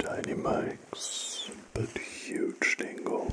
Tiny mics, but huge tingles.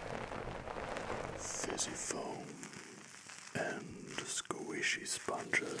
fizzy foam, and squishy sponges.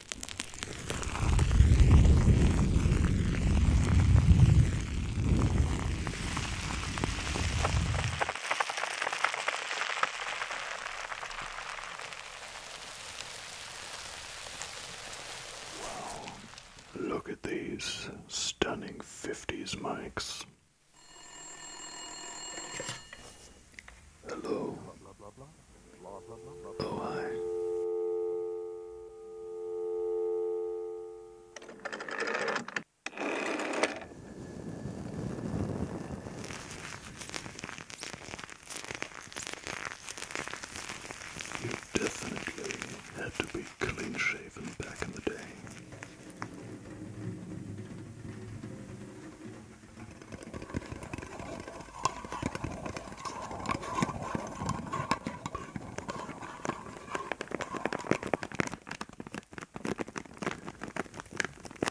Wow. Look at these stunning 50s mics. Hello. Oh, I. You definitely had to be clean shaven back in the day. How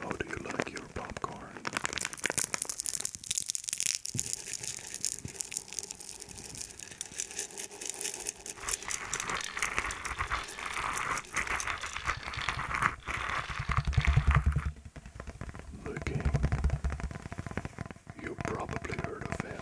oh, do you like your popcorn? Looking. You probably heard of him.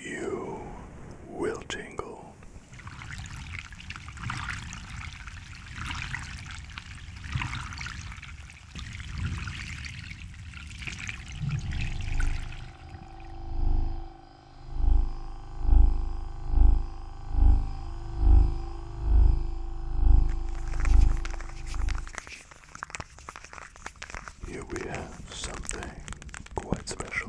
You will tingle. Here we have something quite special.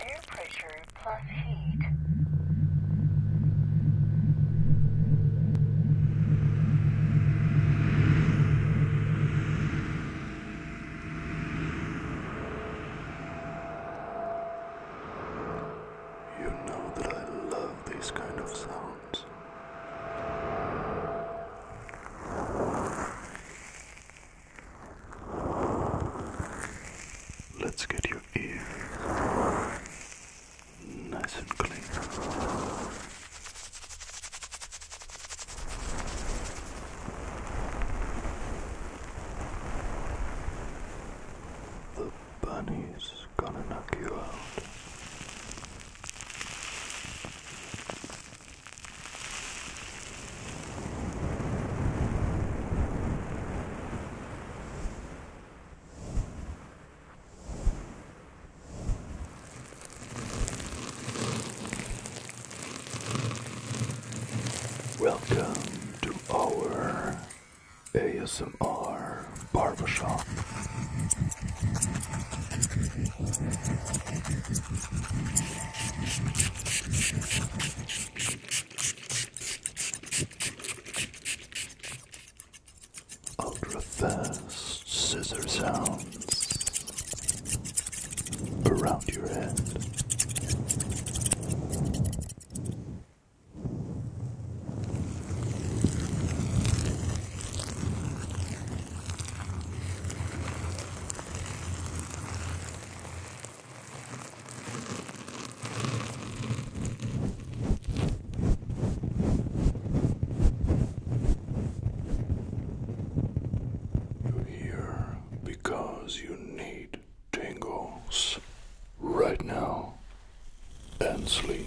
Air pressure plus heat. You know that I love these kind of sounds. Let's get you ear nice and clean. The bunny's gonna knock you out. Welcome to our ASMR barbershop. Ultra scissor sounds around your head. You're here because you need tingles right now and sleep.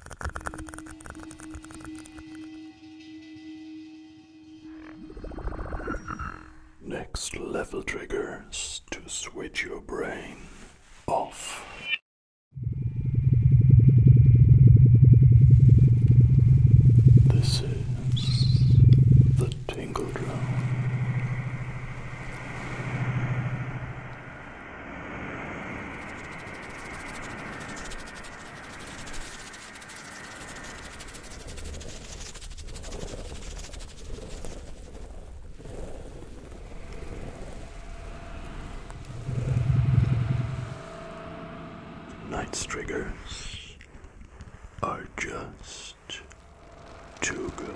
Next level triggers to switch your brain off. This is the Tingle Drone. Knight's triggers are just too good.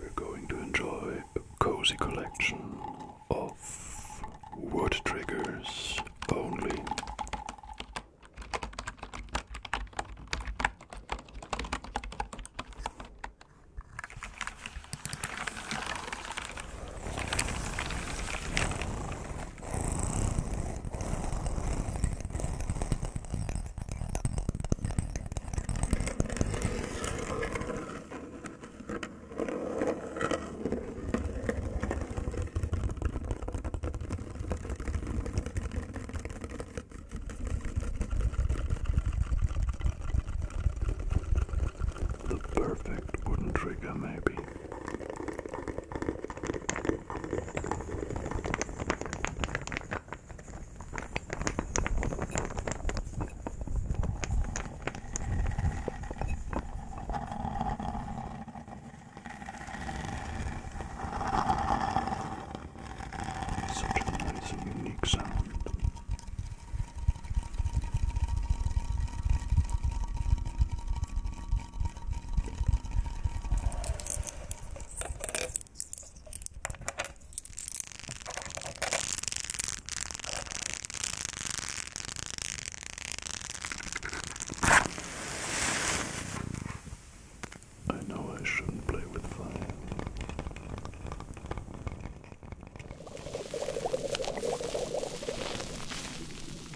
We're going to enjoy a cozy collection of word triggers only. The perfect wooden trigger, maybe. Such a nice and unique sound. I know I shouldn't play with fire.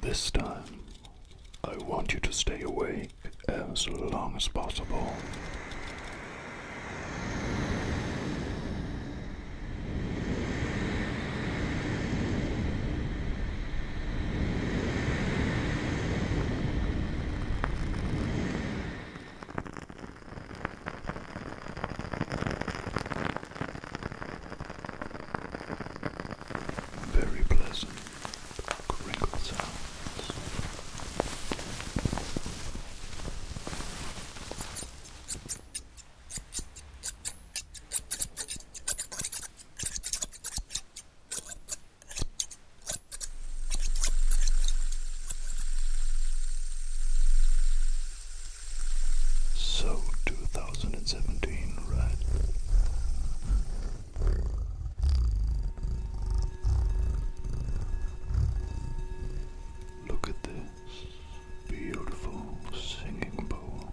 This time, I want you to stay awake as long as possible. Very pleasant crinkle sounds. So 2017, right? Look at this beautiful singing bowl.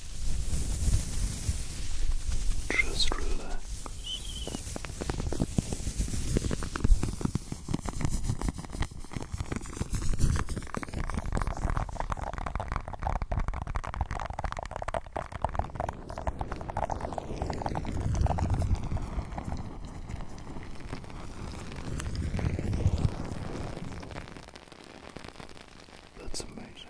Just relax. That's amazing.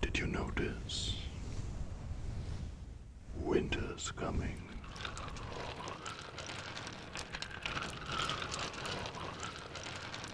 Did you notice? Winter's coming.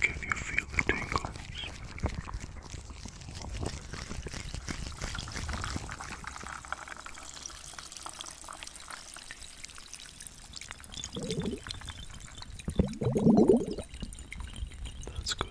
Can you feel the tingles? That's good.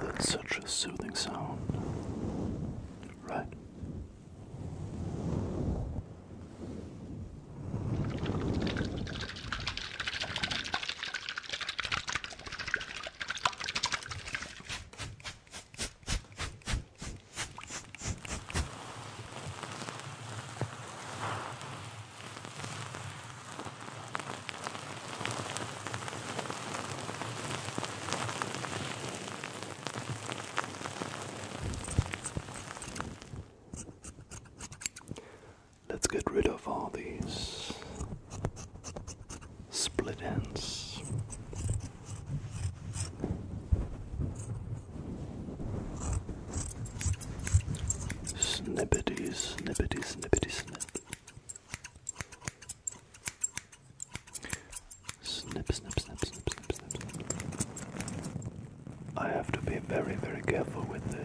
That's such a soothing sound, right? Let's get rid of all these split ends. Snippity, snippity, snippity, snip. Snip, snip, snip, snip, snip, snip, snip. I have to be very, very careful with this.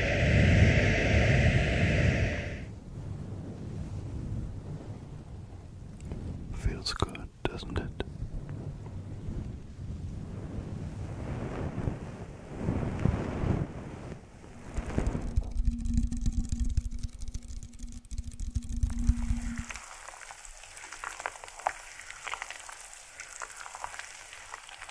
Feels good, doesn't it?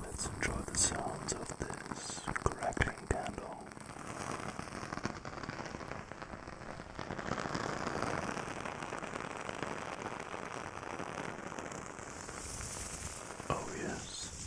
Let's enjoy the sounds of this crackling candle. Oh, yes.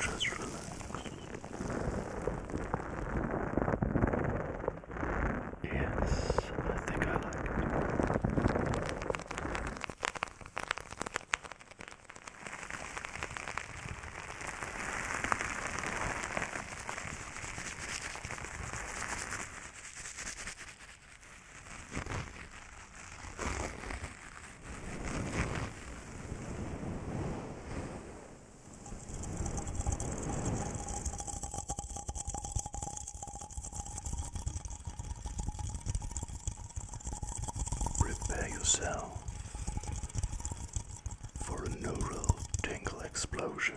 Just relax. Yes, I think I like it. Prepare yourself for a neural tingle explosion.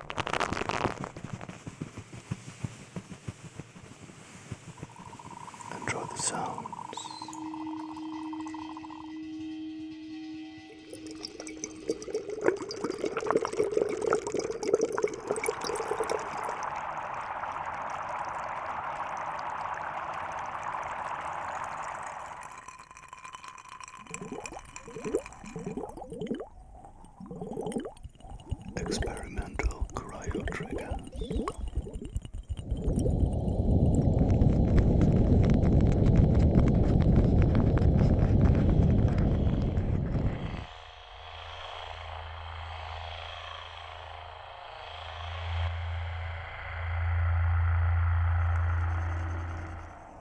Enjoy the sounds experimental cryo trigger.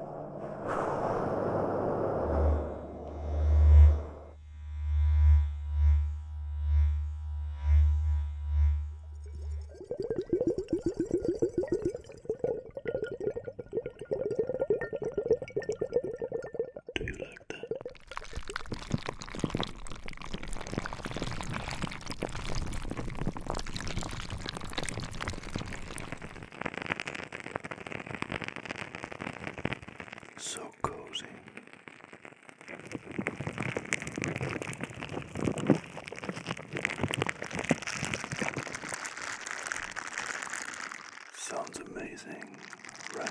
Do you like that? So cozy. Sounds amazing, right?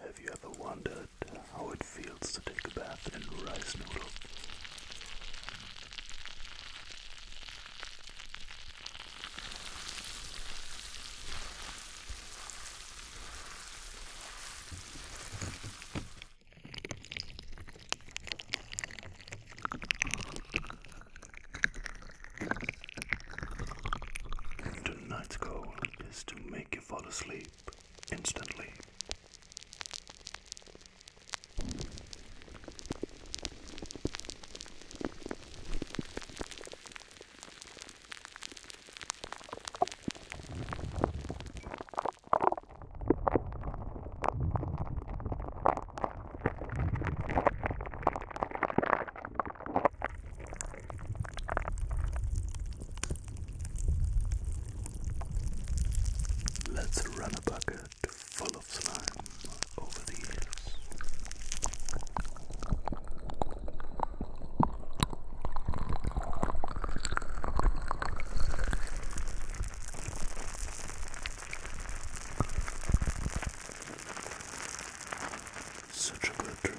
Have you ever wondered how it feels to take a bath in rice noodle? Tonight's goal is to make you fall asleep instantly. Let's run a bucket full of slime over the years. Such a good trigger.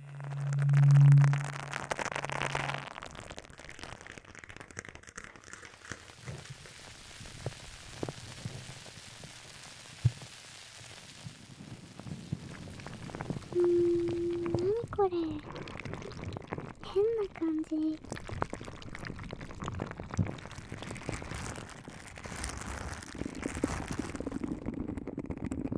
うんこれ変な感じ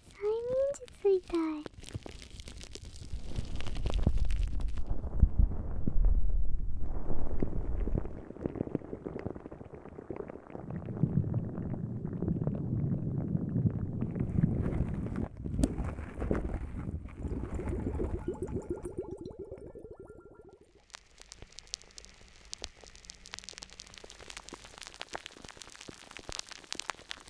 催眠術みたい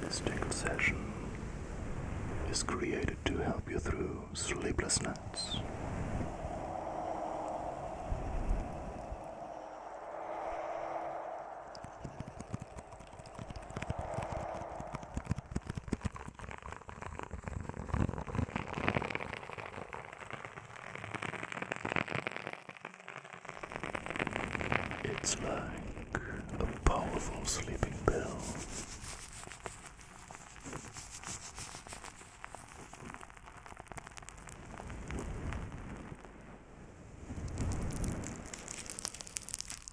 This dream session is created to help you through sleepless nights. It's like a powerful sleeping pill.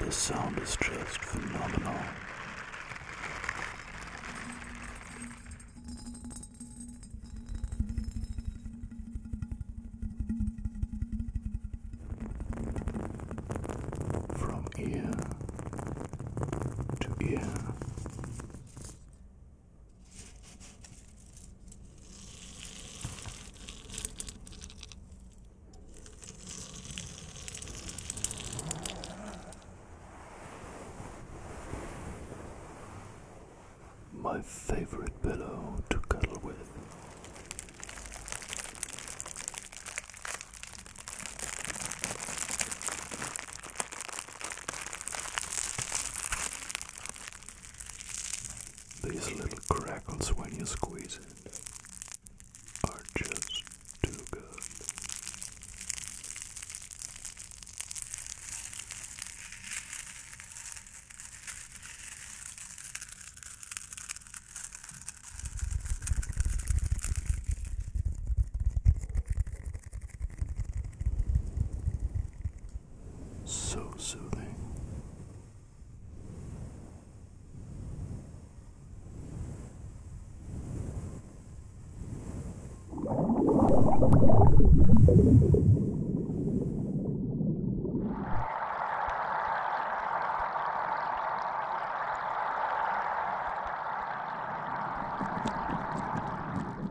The sound is just phenomenal. From ear to ear, my favorite pillow to cuddle with. These little crackles when you squeeze it are just too good. So soothing.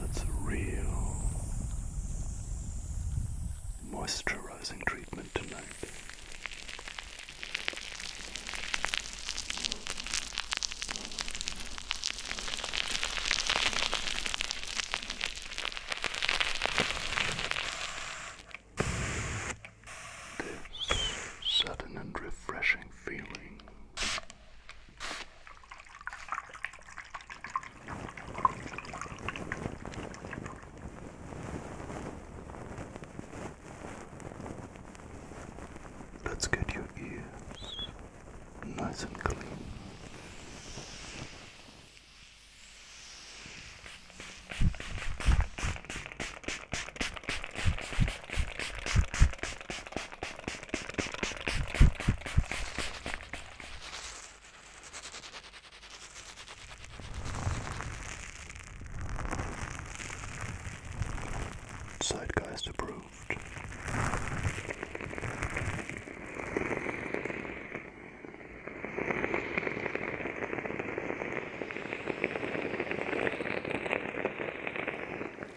That's a real moisturizing treatment tonight. This sudden and refreshing feeling Let's get your ears nice and clean. Sidegeist approved.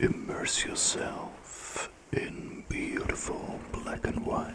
Immerse yourself in beautiful black and white.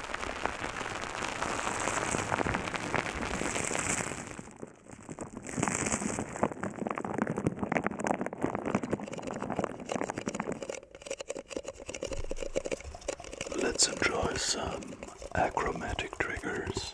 Let's enjoy some achromatic triggers.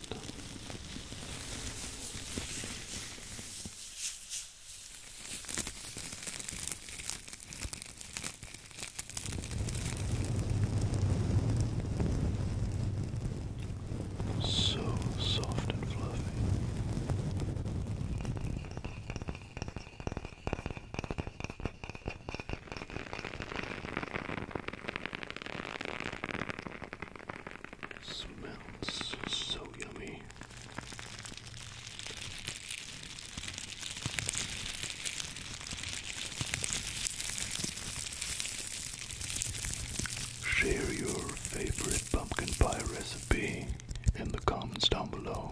perfect. So soft and fluffy. Smells so yummy. Share your favorite pumpkin pie recipe in the comments down below.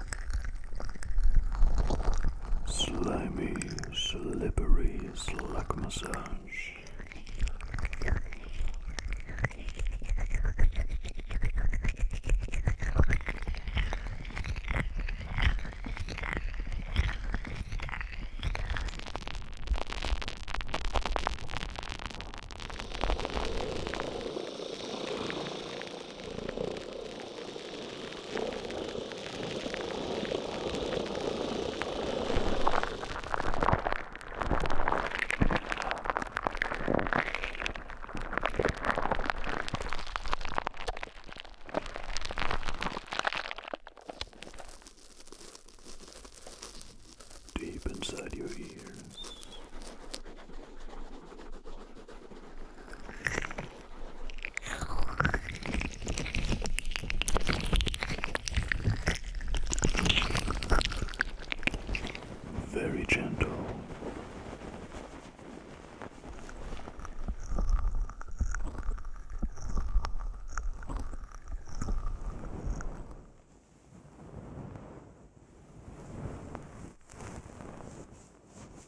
Slimy, slippery slack massage. Deep inside your ears, very gentle.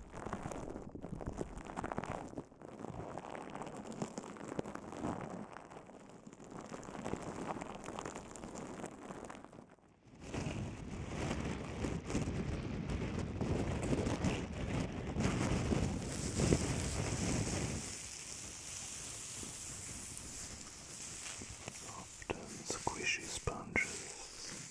Soft and squishy sponges.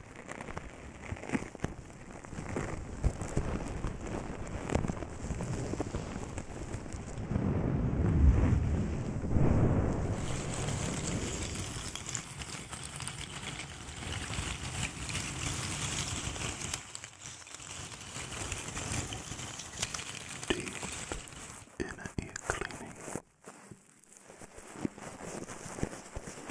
Deep inner ear cleaning.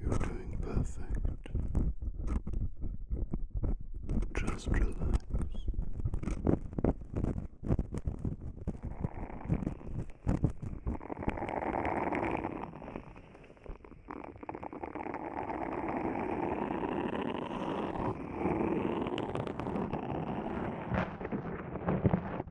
You're doing perfect. Just relax.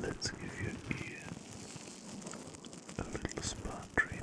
Let's give your ear a little spa treatment.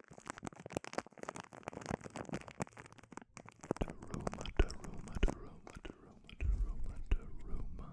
Daruma, Daruma, Daruma, Daruma, Daruma, Daruma.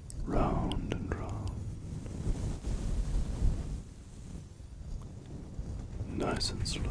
round and round. Nice and slow.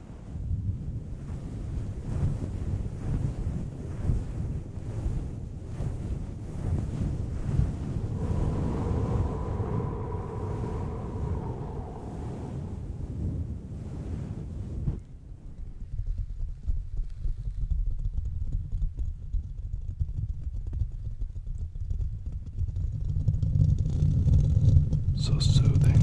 So soothing.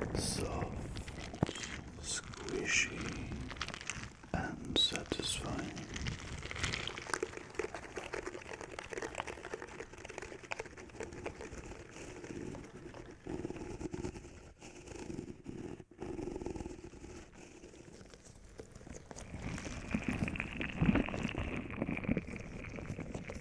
soft, squishy, and satisfying.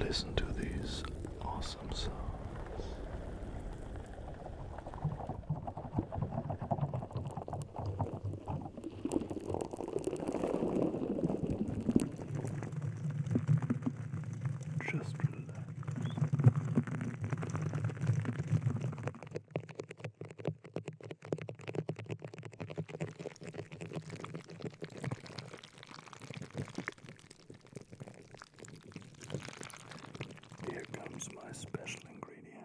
Listen to these awesome songs. Just relax. Here comes my special ingredients.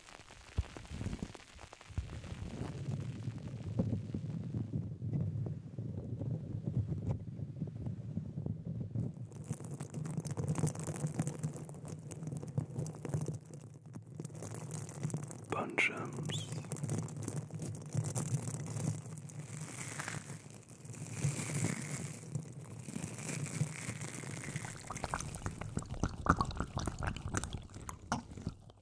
Bunchums.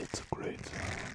It's a great sound.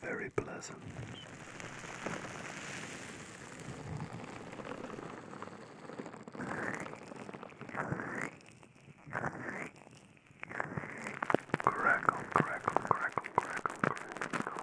very pleasant. Crackle, crackle, crackle, crackle, crackle, crackle, crackle.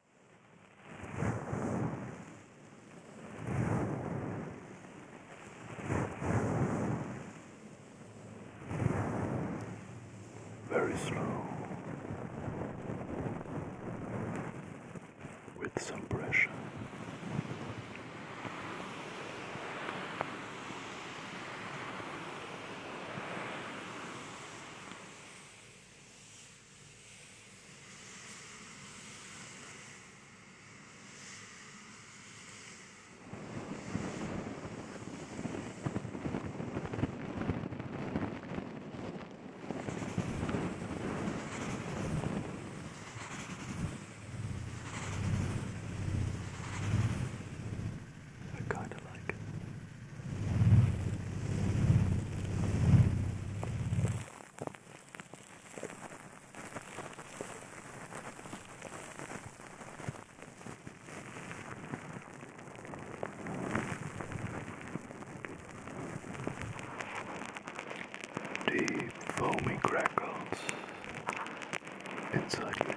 Very slow. With some pressure. I kind of like it. Deep foamy crackles inside your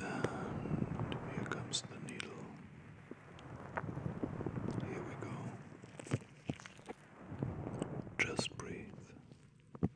And here comes the needle. Here we go. Just breathe.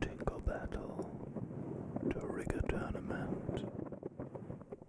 Tinkle Battle to Rigger Tournament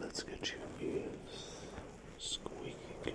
Let's get your ears. Squeaky clean.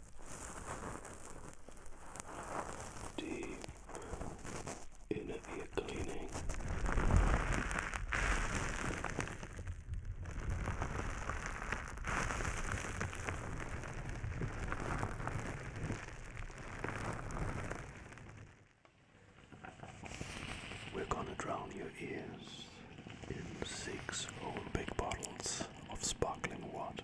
deep inner ear cleaning. We're gonna drown your ears in six whole big bottles of sparkling water.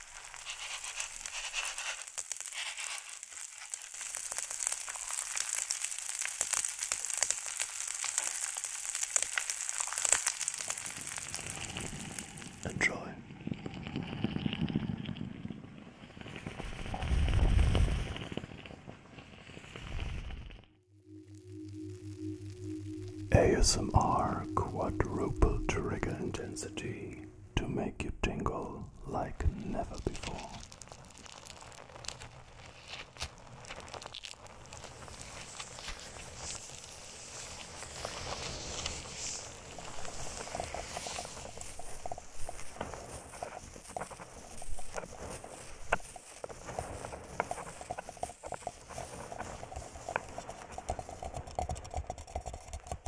Enjoy. ASMR quadruple trigger intensity to make you tingle like never before.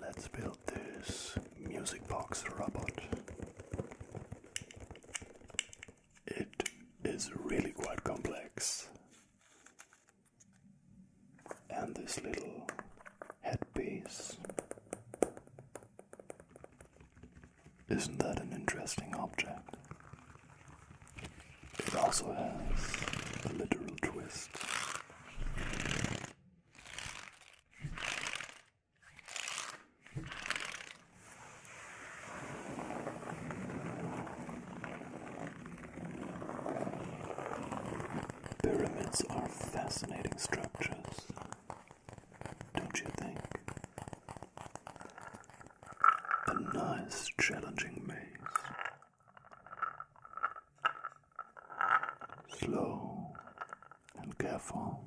Let's build this music box robot. It is really quite complex. And this little headpiece. Isn't that an interesting object? It also has a literal twist. Pyramids are fascinating structures, don't you think? A nice, challenging maze slow and careful.